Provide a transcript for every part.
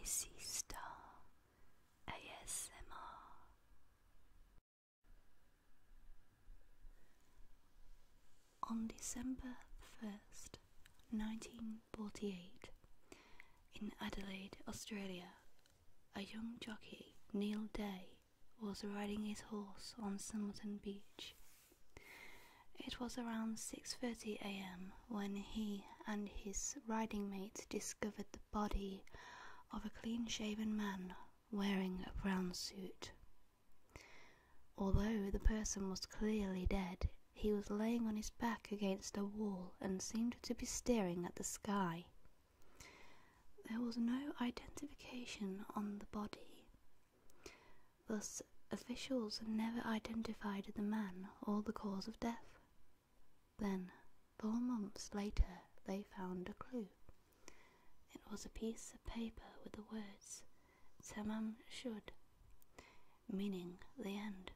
Icy Star ASMR. On December 1st, 1948, in Adelaide, Australia, a young jockey, Neil Day, was riding his horse on Somerton Beach it was around 6:30 a.m. when he and his riding mate discovered the body of a clean-shaven man wearing a brown suit. Although the person was clearly dead, he was laying on his back against a wall and seemed to be staring at the sky. There was no identification on the body. Thus, officials never identified the man or the cause of death. Then, four months later, they found a clue. It was a piece of paper with the words Tamam Shud, meaning the end.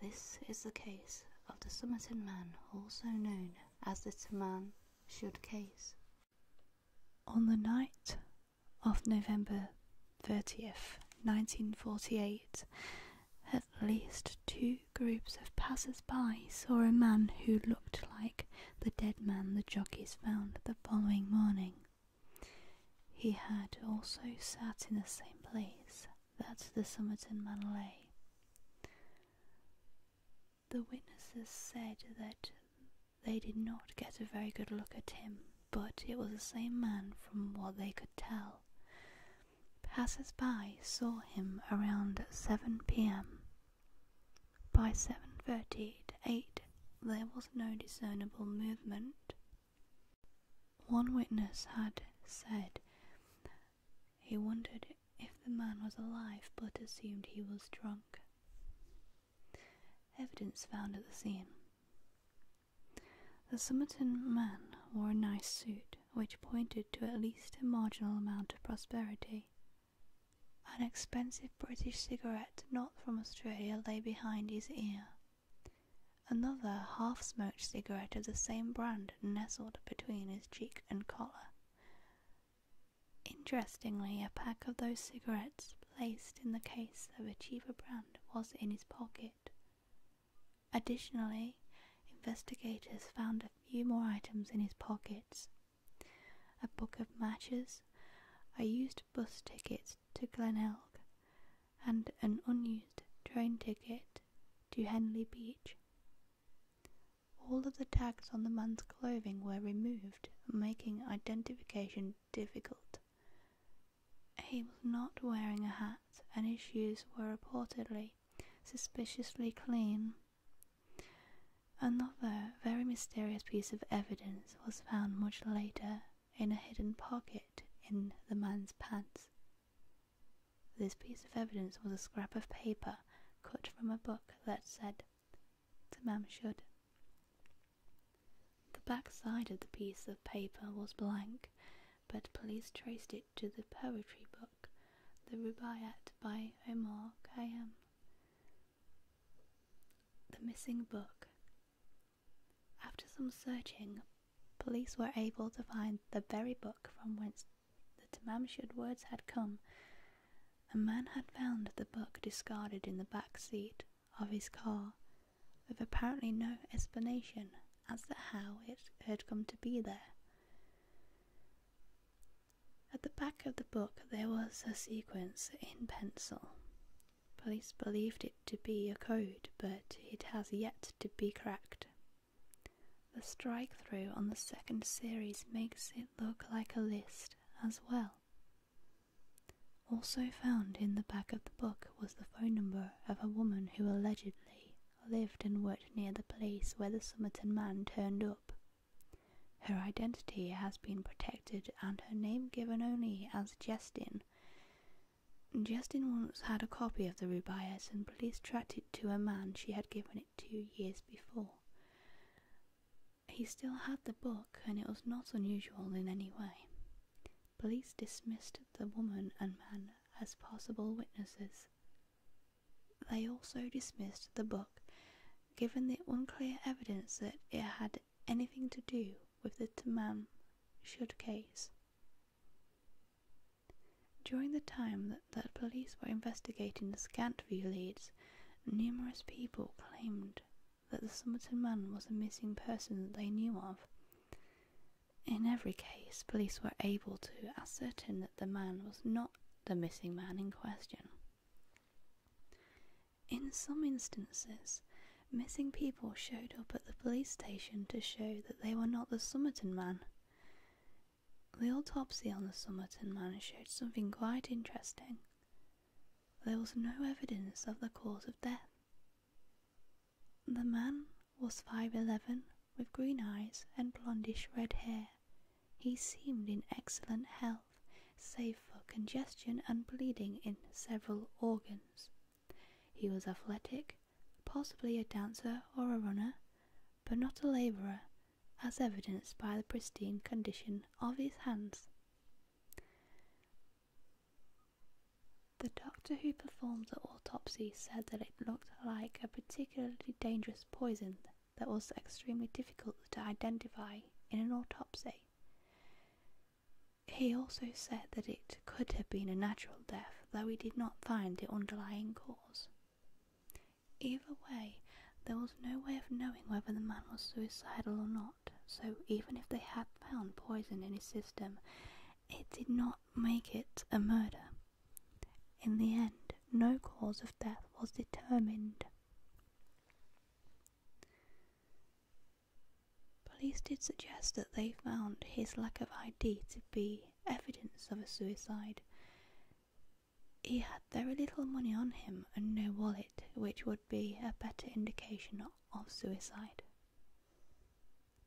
This is the case of the Somerton man, also known as the Tamam Shud case. On the night of November 30th, 1948, at least two groups of passers-by saw a man who looked like the dead man the jockeys found the following morning. He had also sat in the same place that the Somerton man lay. The witnesses said that they did not get a very good look at him, but it was the same man from what they could tell. Passers by saw him around 7 pm. By 7.30 to 8 there was no discernible movement. One witness had said he wondered if the man was alive but assumed he was drunk. Evidence found at the scene. The Somerton man wore a nice suit, which pointed to at least a marginal amount of prosperity. An expensive British cigarette, not from Australia, lay behind his ear. Another half smoked cigarette of the same brand nestled between his cheek and collar. Interestingly, a pack of those cigarettes placed in the case of a cheaper brand was in his pocket. Additionally, investigators found a few more items in his pockets a book of matches, a used bus ticket to Glenelg, and an unused train ticket to Henley Beach. All of the tags on the man's clothing were removed, making identification difficult. He was not wearing a hat, and his shoes were reportedly suspiciously clean. Another very mysterious piece of evidence was found much later in a hidden pocket in the man's pants. This piece of evidence was a scrap of paper cut from a book that said Tamam should. The backside of the piece of paper was blank, but police traced it to the poetry book, The Rubaiyat by Omar Khayyam. The missing book. After some searching, police were able to find the very book from whence the Tamamshud words had come. A man had found the book discarded in the back seat of his car, with apparently no explanation as to how it had come to be there. At the back of the book there was a sequence in pencil. Police believed it to be a code, but it has yet to be cracked. The strike through on the second series makes it look like a list as well. Also found in the back of the book was the phone number of a woman who allegedly lived and worked near the place where the Somerton man turned up. Her identity has been protected and her name given only as Jestin. Jestin once had a copy of the rubaiyat and police tracked it to a man she had given it. Two years before. He still had the book, and it was not unusual in any way. Police dismissed the woman and man as possible witnesses. They also dismissed the book, given the unclear evidence that it had anything to do with the Tamam Shud case. During the time that, that police were investigating the Scantview leads, numerous people claimed that the Somerton man was a missing person that they knew of. In every case, police were able to ascertain that the man was not the missing man in question. In some instances, missing people showed up at the police station to show that they were not the Somerton man. The autopsy on the Somerton manor showed something quite interesting. There was no evidence of the cause of death. The man was 5'11 with green eyes and blondish red hair. He seemed in excellent health, save for congestion and bleeding in several organs. He was athletic, possibly a dancer or a runner, but not a labourer, as evidenced by the pristine condition of his hands. The doctor who performed the autopsy said that it looked like a particularly dangerous poison that was extremely difficult to identify in an autopsy. He also said that it could have been a natural death, though he did not find the underlying cause. Either way, there was no way of knowing whether the man was suicidal or not, so even if they had found poison in his system, it did not make it a murder. In the end, no cause of death was determined. Police did suggest that they found his lack of ID to be evidence of a suicide. He had very little money on him and no wallet, which would be a better indication of suicide.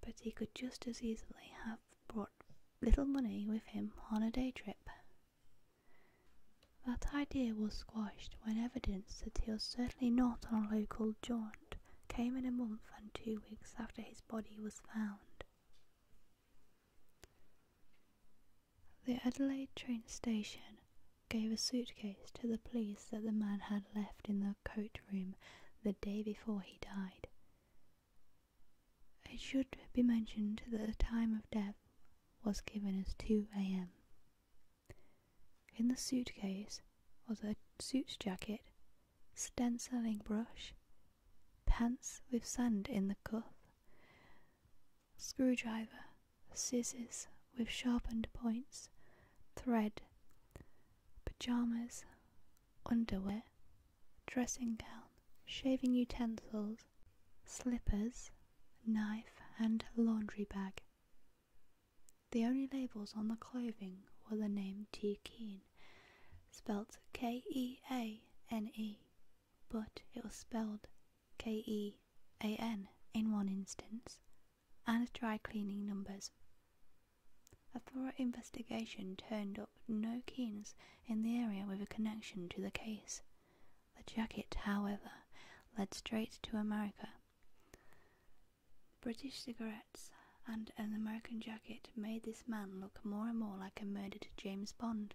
But he could just as easily have brought little money with him on a day trip. That idea was squashed when evidence that he was certainly not on a local jaunt came in a month and two weeks after his body was found. The Adelaide train station gave a suitcase to the police that the man had left in the coat room the day before he died. It should be mentioned that the time of death was given as 2 a.m. In the suitcase was a suit jacket, stenciling brush, pants with sand in the cuff, screwdriver, scissors with sharpened points, thread, pajamas, underwear, dressing gown, shaving utensils, slippers, knife, and laundry bag. The only labels on the clothing were the name T. Keane, spelled K E A N E, but it was spelled K E A N in one instance, and dry cleaning numbers. A thorough investigation turned up no Keens in the area with a connection to the case. The jacket, however, led straight to America British cigarettes and an American jacket made this man look more and more like a murdered James Bond.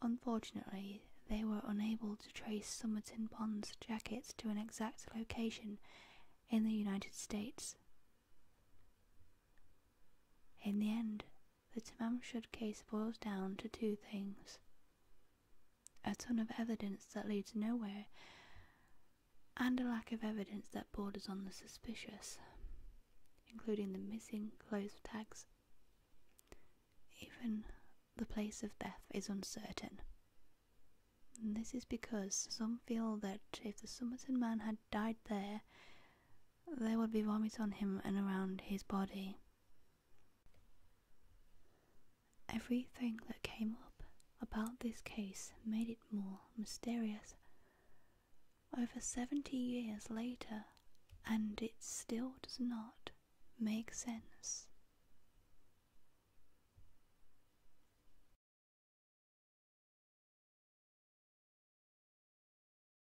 Unfortunately, they were unable to trace Somerton Bond's jacket to an exact location in the United States. In the end, the Tamamshud case boils down to two things a ton of evidence that leads nowhere, and a lack of evidence that borders on the suspicious, including the missing clothes tags. Even the place of death is uncertain. this is because some feel that if the Somerton man had died there, there would be vomit on him and around his body, Everything that came up about this case made it more mysterious. Over 70 years later, and it still does not make sense.